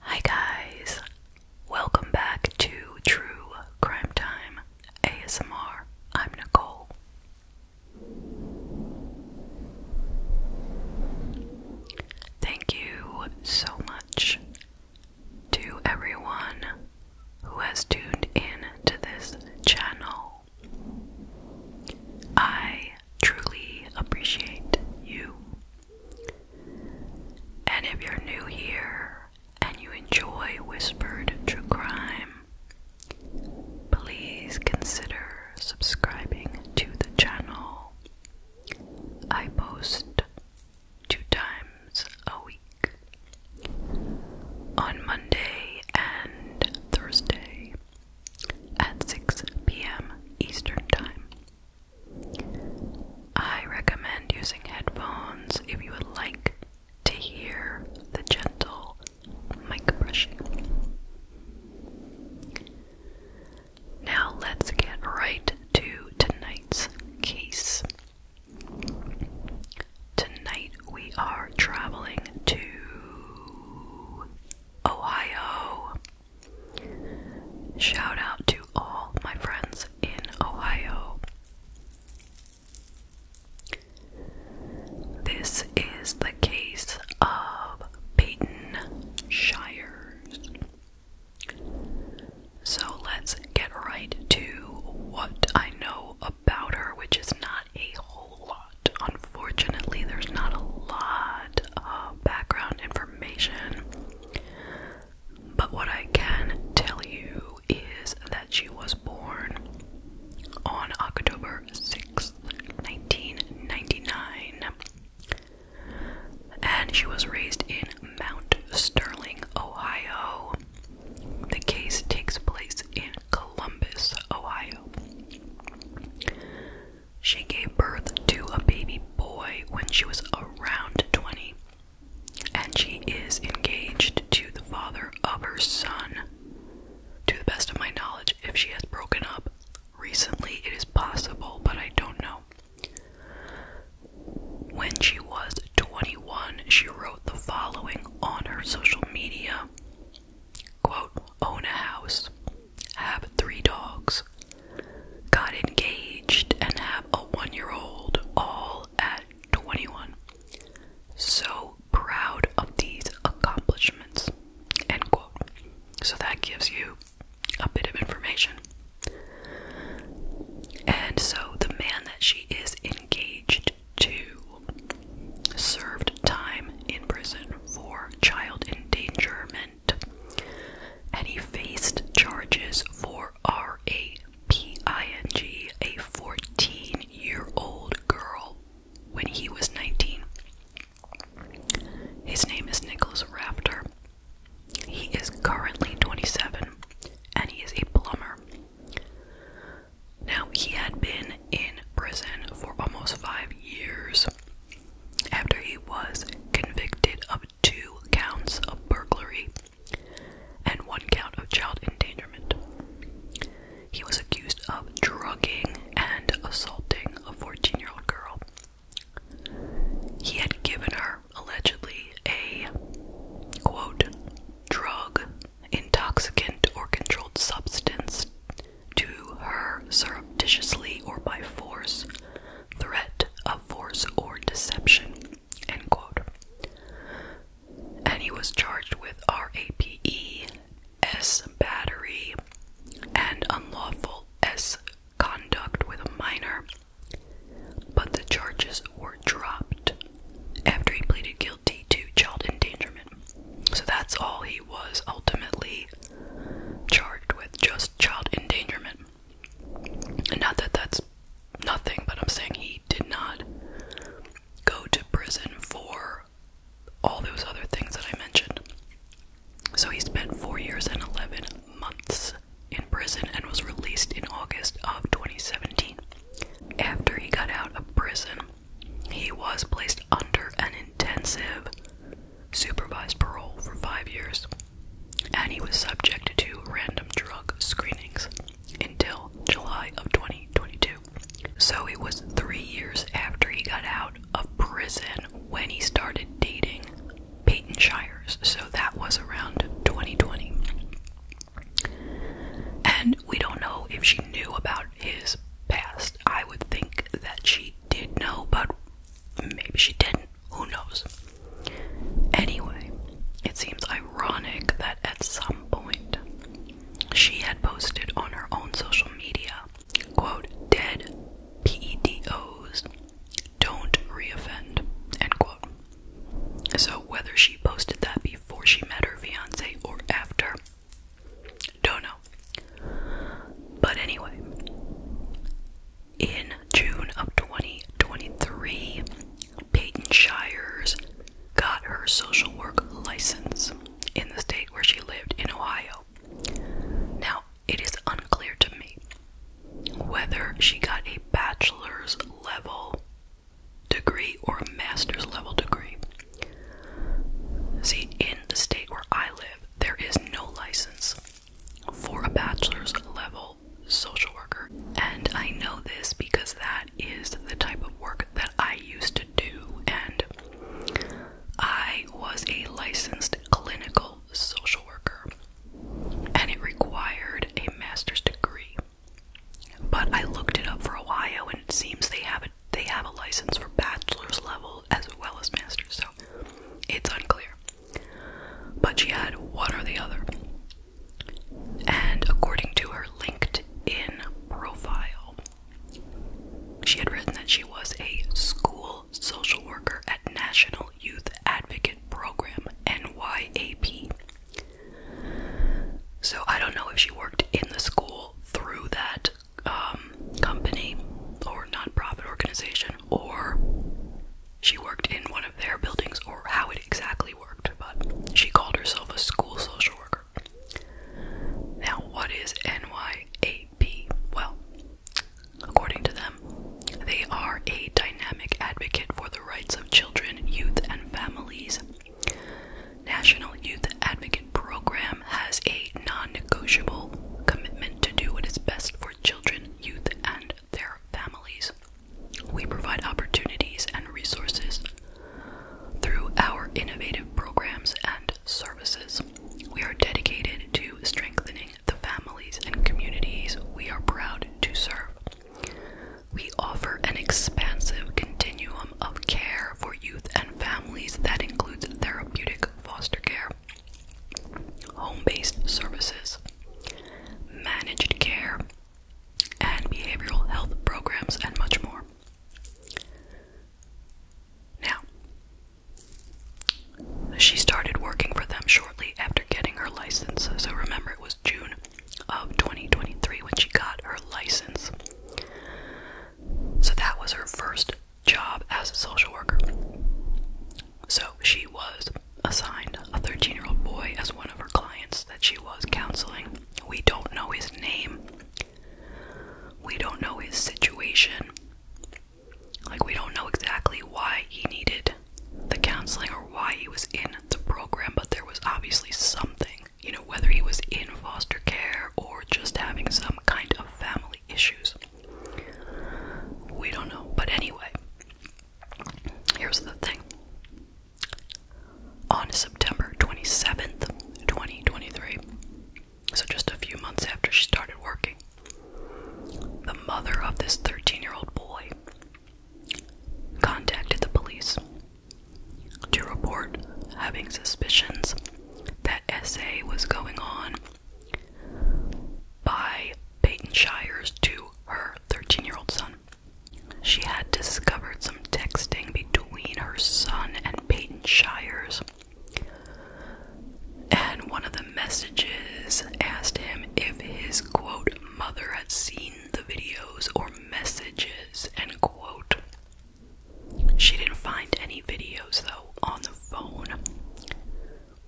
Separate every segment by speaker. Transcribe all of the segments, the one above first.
Speaker 1: Hi, guys. Welcome back to True Crime Time ASMR. I'm Nicole. Thank you so much to everyone who has tuned in to this channel. I truly appreciate you. And if you're new here and you enjoy Whispered True Crime, please consider subscribing to the channel. I post two times a week on Monday and Thursday at 6 p.m. Eastern Time. I recommend using headphones if you would like to hear the gentle mic brushing. Now, let's get right to tonight's case. Tonight we are traveling to Ohio. Shout out to all my friends in Ohio. This is the case of Peyton Shires. So let's get right to what I know about her, which is not a whole lot. Unfortunately, there's not a lot of background information. But what I can tell you is that she was born on October 6th, 1999. And she was raised in Mount Sterling, Ohio. The case takes place in Columbus, Ohio. She gave birth to a baby boy when she was around 20, and she is engaged to the father of her son. To the best of my knowledge, if she has broken up recently, it is possible, but I don't know. When she was 21, she wrote the following on her social media quote own a house have three dogs got engaged and have a one-year-old all at 21 so proud of these accomplishments end quote so that gives you a bit of information and so the man that she is engaged he served time in prison for child endangerment, and he faced charges for raping a 14 year old girl when he was 19. His name is Nicholas Rafter. He is currently 27 and he is a plumber. Now, he had been in prison for almost five years after he was convicted of two counts of burglary and one count of child endangerment. He was accused of drugging and assaulting a 14 year old girl. He had given her, allegedly, a quote, drug intoxicant or controlled substance to her surreptitiously or by force, threat of force or deception. And he was charged with RAPE, S battery, and unlawful S conduct with a minor, but the charges were dropped after he pleaded guilty to child endangerment. So that's all he was ultimately charged with, just child endangerment. And not that that's nothing, but I'm saying he did not go to prison for all those other things that I mentioned. So he spent four years and 11 months in prison and was released in August of 2017. After he got out of prison, he was placed under an intensive supervised parole for five years, and he was subjected to random drug screenings until July of 2022. So it was three years after he got out of prison when he started dating Peyton Shires, so that was around 2020. And we don't know if she knew about his past. I would think that she did know, but maybe she didn't. Who knows? Anyway, it seems ironic that at some point she had posted on her own social media, quote, dead PEDOs don't reoffend, end quote. So, whether she posted that before she met her fiance or after, don't know. But anyway, in June of 2023, Peyton Shires got her social work license in the state where she lived in Ohio. Now, it is unclear to me whether she got a bachelor's level degree or master's level degree. See, in the state where I live, there is no license for a bachelor's level social worker. And I know this because that is the type of work that I used to do, and I was a licensed clinical social worker, and it required a master's degree. But I looked it up for a while, and it seems they have a, they have a license for bachelor's level as well as master's, so it's unclear. But she had one or the other. And according to her LinkedIn profile, she had written that she was a school social worker at National Youth Advocate Program, NYAP. So I don't know if she worked in the school through that um, company or nonprofit organization, or she worked in one of their buildings, or how it exactly worked, but she called herself a school social worker. Now, what is NYAP? Well, according to them, they are a dynamic advocate for the rights of children, youth, and families National Youth Advocate Program has a non-negotiable commitment to do what is best for children, youth, and their families. We provide opportunities and resources through our innovative programs and services. We are dedicated to strengthening the families and communities we are proud to serve. We offer an expansive continuum of care for youth and families that includes therapeutic foster care, home based services, managed care, and behavioral health programs, and much more. Now, she started working for them shortly after getting her license, so remember it was. June of 2023 when she got her license. So that was her first job as a social worker. So she was assigned a 13 year old boy as one of her clients that she was counseling. We don't know his name, we don't know his situation. Like, we don't know exactly why he needed the counseling or why he was in the program, but there was obviously something. You know, whether he was in foster care or just having some kind of family issues. We don't know. But anyway, here's the thing. On September 27th, 2023, so just a few months after she started working, the mother of this 13 year old boy contacted the police to report having suspicions that SA was going on by Peyton Shires to her 13 year old son. She had discovered some texting between her son and Peyton Shires, and one of the messages asked him if his quote mother had seen the videos or messages, end quote. She didn't find any videos though on the phone,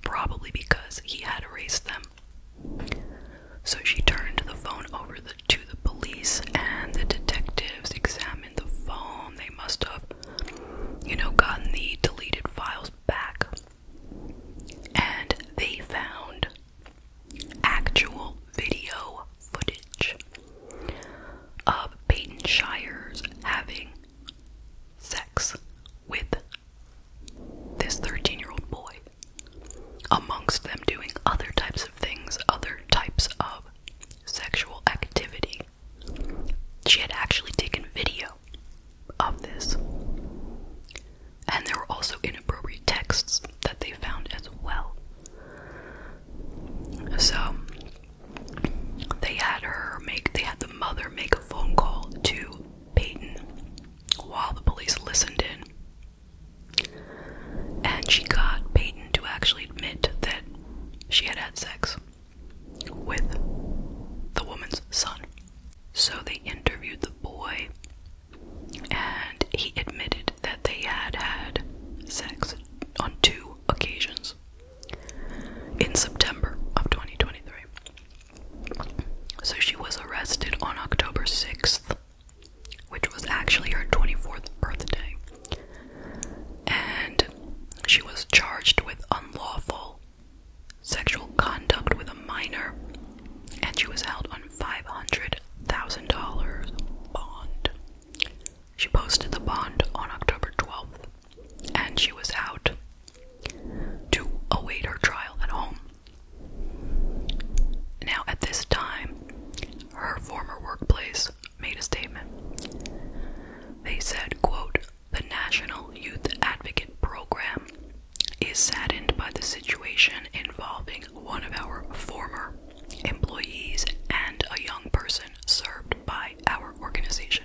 Speaker 1: probably because he had erased them. So she turned the phone over to the police, and the detectives examined the phone. They must have, you know, gotten the deleted files back. And they found actual video footage of Peyton Shires having sex with this 13 year old boy, amongst them doing other types of things, other types of sexual activity. She had actually taken video of this. And there were also inappropriate texts that they found as well. So they had her make they had the mother make a phone call to Peyton while the police listened in. And she got Peyton to actually admit that she had had sex with the woman's son. So they interviewed the boy and he admitted that they had had sex on two occasions in September of 2023. So she was arrested on October 6th, which was actually her 24th birthday, and she was charged with unlawful sexual conduct with a minor and she was held on $500,000 bond. She posted the bond on October 12th, and she was out to await her trial at home. Now, at this time, her former workplace made a statement. They said, quote, the National Youth Advocate Program is saddened by the situation involving one of our former employees and a young person served by our organization.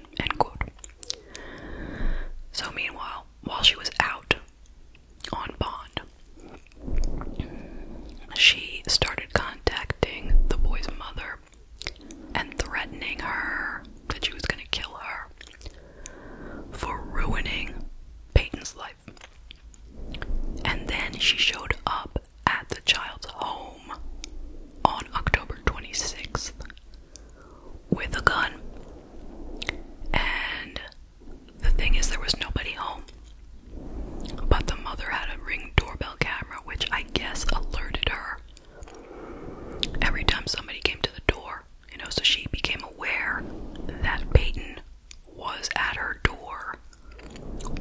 Speaker 1: So meanwhile, while she was out on bond, she started contacting the boy's mother and threatening her that she was going to kill her for ruining Peyton's life. And then she showed up at the child's home on October 26th with a gun. And the thing is, there was nobody home. But the mother had a ring doorbell camera, which I guess alerted her every time somebody came to the door, you know, so she became aware that Payton was at her door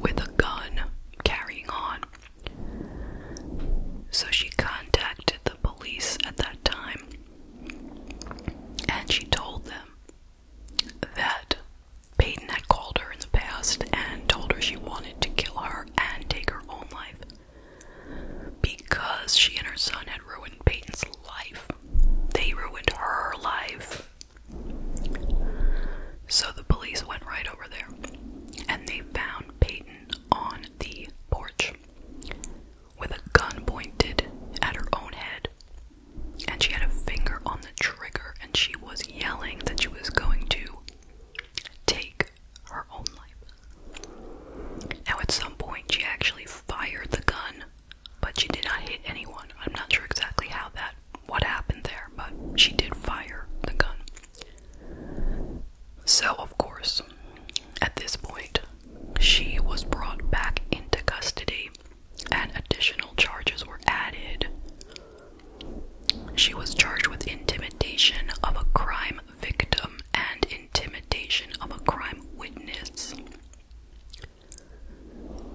Speaker 1: with a gun carrying on. So she contacted the police at that time and she told them that Payton had called her in the past and told her she wanted to kill her and take her own life because she and her son had ruined Payton's life. They ruined her life. So the police went right over there and they found Peyton on the porch with a gun pointed at her own head. And she had a finger on the trigger and she was yelling that she was going to take her own life. Now, at some point, she actually fired the gun but she did not hit anyone. I'm not sure exactly how that what happened there, but she did fire the gun. So, of course, at this point, she was brought back into custody and additional charges were added. She was charged with intimidation of a crime victim and intimidation of a crime witness.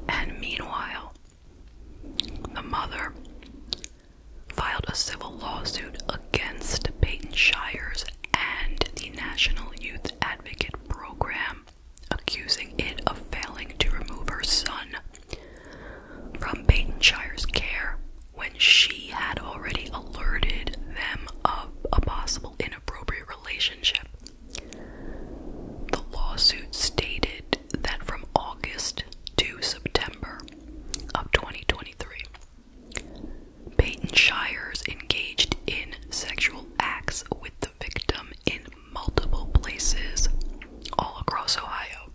Speaker 1: And meanwhile, the mother filed a civil lawsuit against Peyton Shires and the National Youth Advocate Program, accusing it of failing to remove her son from Peyton Shires' care when she had already alerted them of a possible inappropriate relationship. The lawsuit stated that from August to September of 2023, Payton Shires engaged in sexual acts with the victim in multiple places all across Ohio.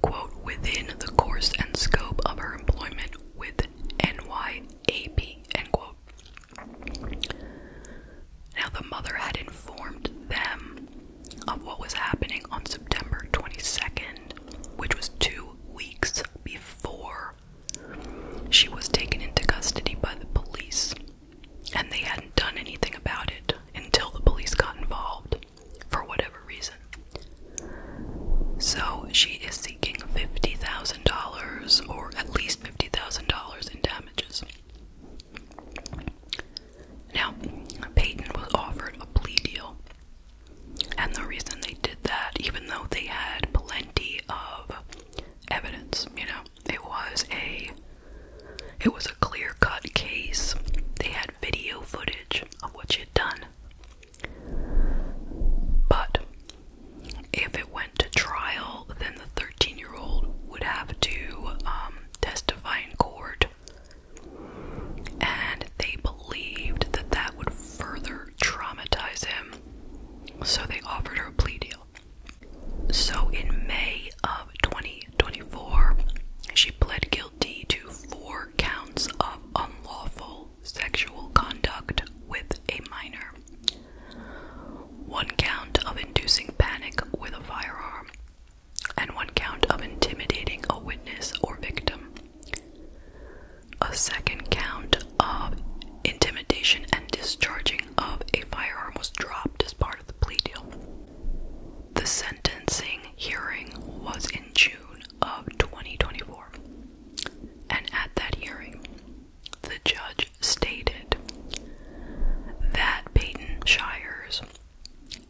Speaker 1: Quote, within the course and scope of her employment with NYAP, end quote. Now, the mother had informed them of what was happening on September 22nd, which was two weeks before she was taken into custody by the police, and they hadn't done anything about it until the police got involved for whatever reason. So she is seeking $50,000 or at least $50,000 in damages. Now, Peyton was offered a plea deal. And the reason they did that, even though they had plenty of evidence, you know, it was a it was a clear-cut case. They had video footage of what she had done. But if it went to trial, then the 13 year old would have to um, testify in court. And they believed that that would further traumatize him, so they offered her a plea deal. So in May of 2024, she pled guilty to four counts of unlawful sexual conduct with a minor one count of inducing panic with a firearm, and one count of intimidating a witness or victim. A second count of intimidation and discharging of a firearm was dropped as part of the plea deal. The sentencing hearing was in June of 2024, and at that hearing, the judge stated that Peyton Shires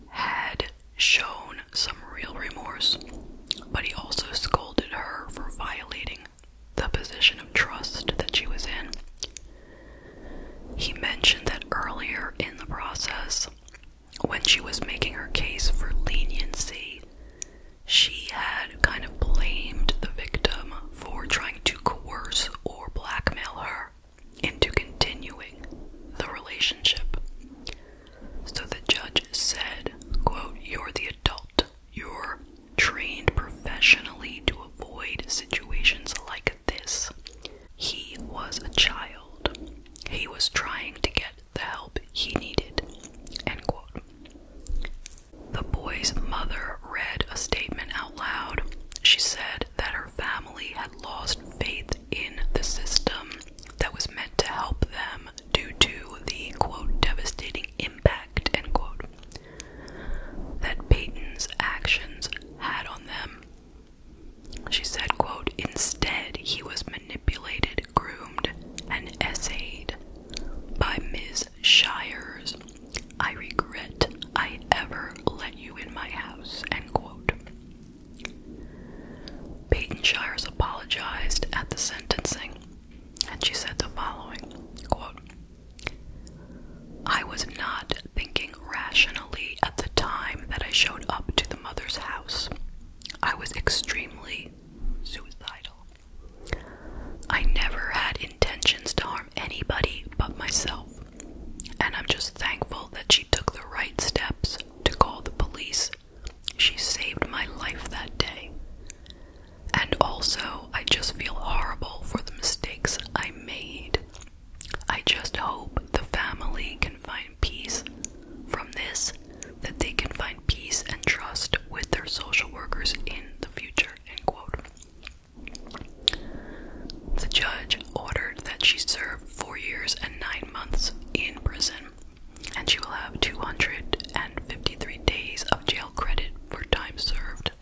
Speaker 1: had shown some real remorse, but he also scolded her for violating the position of trust that she was in. He mentioned that earlier in the process, when she was making her case for leniency, she had kind of blamed the victim for trying to coerce or blackmail her into continuing the relationship. So the judge said, quote, You're the adult. You're trained professionally to avoid situations like this. He was a child. He was trying to get the help he needed. End quote. The boy's mother read a statement out loud. She said that her family had lost faith in the system that was meant to help them due to the quote devastating impact end quote that Payton's actions had on them. She said, quote, instead he was manipulated, groomed, and essayed by Ms. Shires, I regret I ever let you in my house, end quote. Peyton Shires apologized at the sentencing, and she said the following, quote, I was not thinking rationally at the time that I showed up to the mother's house. I was extremely suicidal. I never had intentions to harm anybody but myself. And I'm just thankful that she took the right steps to call the police. She saved my life that day. And also, I just feel horrible for the mistakes I made. I just hope the family can find peace from this, that they can find peace and trust with their social workers in the future. End quote. The judge ordered that she serve four years and nine months in prison, and she will have 253 days of jail credit for time served.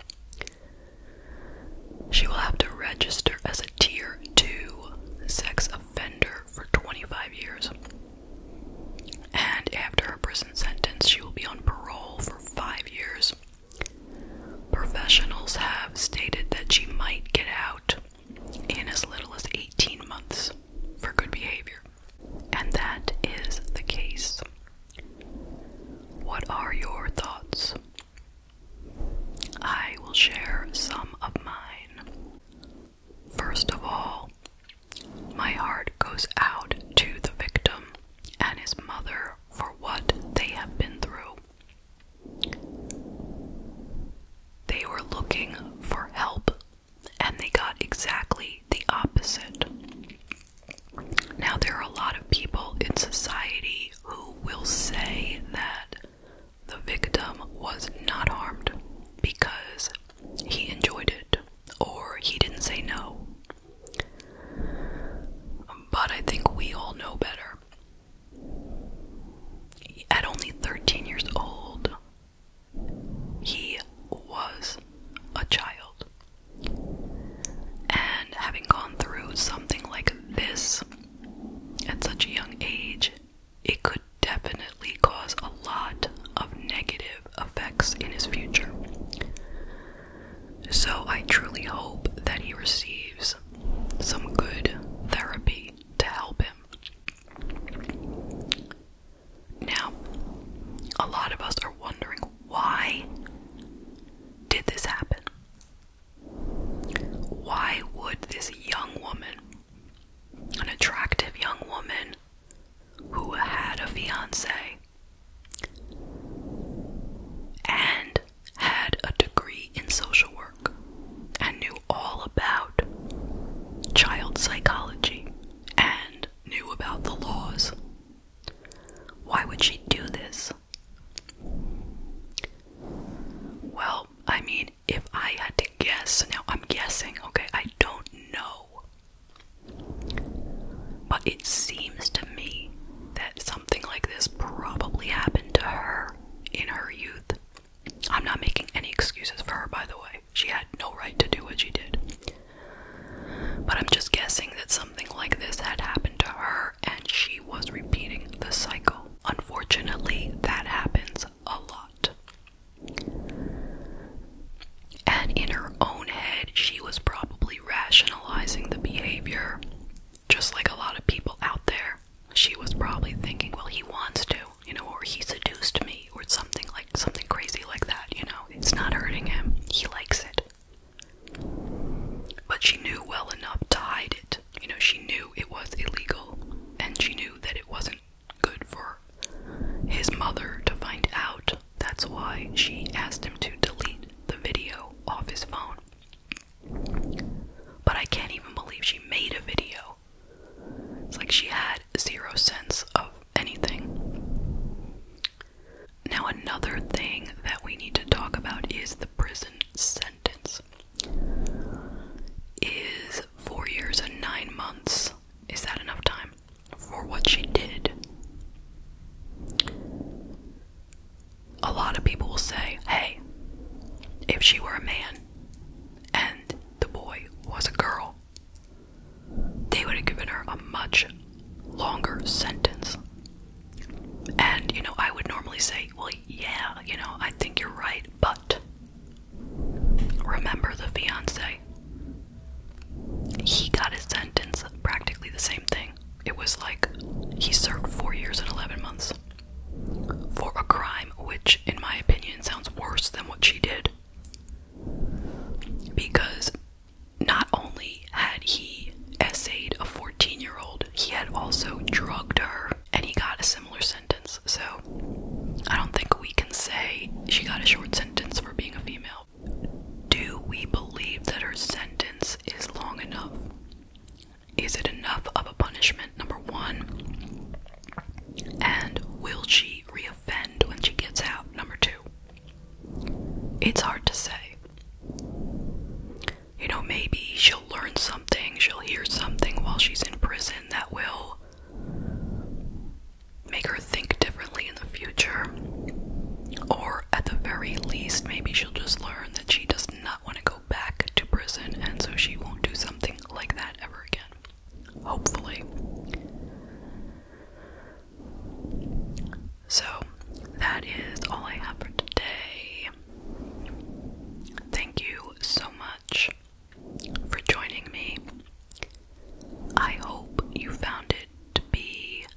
Speaker 1: She will have to register as a Tier 2 sex offender for 25 years. And after her prison sentence, she will be on parole for five years Professionals have stated that she might get out in as little as 18 months for good behavior. And that is the case. What are your thoughts? I will share some of mine. First of all, my heart goes out to the victim and his mother for what they have been through. They were looking for help and they got exactly the opposite. Now, there are a lot of people in society who will say that the victim was not harmed because he enjoyed it or he didn't say no but I think we all know better. At only 13 years old, he was a child. And having gone through something like this at such a young age, it could definitely cause a lot of negative effects in his future. So I truly hope that he receives some good therapy to help him. Now, a lot of us are wondering why did this happen? Why would this young woman, an attractive young woman who had a fiance, and had a degree in social work and knew all about child psychology and knew about the laws. Why would she do this? Well, I mean, if I had to guess, now I'm guessing, okay, I don't know but it seems to me that something like this probably happened to her in her youth. I'm not making any excuses for her, by the way. She had no right to do what she did. But I'm just guessing that something like this had happened to her and she was repeating the cycle. Unfortunately, that happens a lot. And in her own head, she was probably rationalizing the behavior. Just like a lot of people out there, she was probably thinking, well, he wants to, you know, or he seduced me, or something like something crazy like that, you know. It's not hurting him, he likes it. But she knew well enough to hide it. You know, she knew it was illegal, and she knew that it wasn't good for his mother to find out. That's why she asked him to delete the video off his phone. But I can't even believe she made a video. It's like she had zero sense of anything. Now, another thing that we need to talk about is the prison sentence. Is four years and nine months. Is that enough time? for what she did. A lot of people will say, hey, if she were a man and the boy was a girl, they would have given her a much longer sentence. And, you know, I would normally say, well, yeah, you know, I think you're right, but remember the fiance. He got a sentence, practically the same thing it was like he served four years and 11 months for a crime which, in my opinion, sounds worse than what she did. Because not only had he essayed a 14 year old, he had also drugged her and he got a similar sentence. So I don't think we can say she got a short sentence for being a female. Do we believe that her sentence is long enough? Is it enough of a punishment, number one? And will she reoffend when she gets out, number two? It's hard to say. You know, maybe she'll learn something, she'll hear something while she's in prison that will make her think differently in the future, or at the very least, maybe she'll just learn that she does not want to go back to prison and so she won't do something like that ever again. Hopefully. So, that is all I have for today. Thank you so much for joining me. I hope you found it to be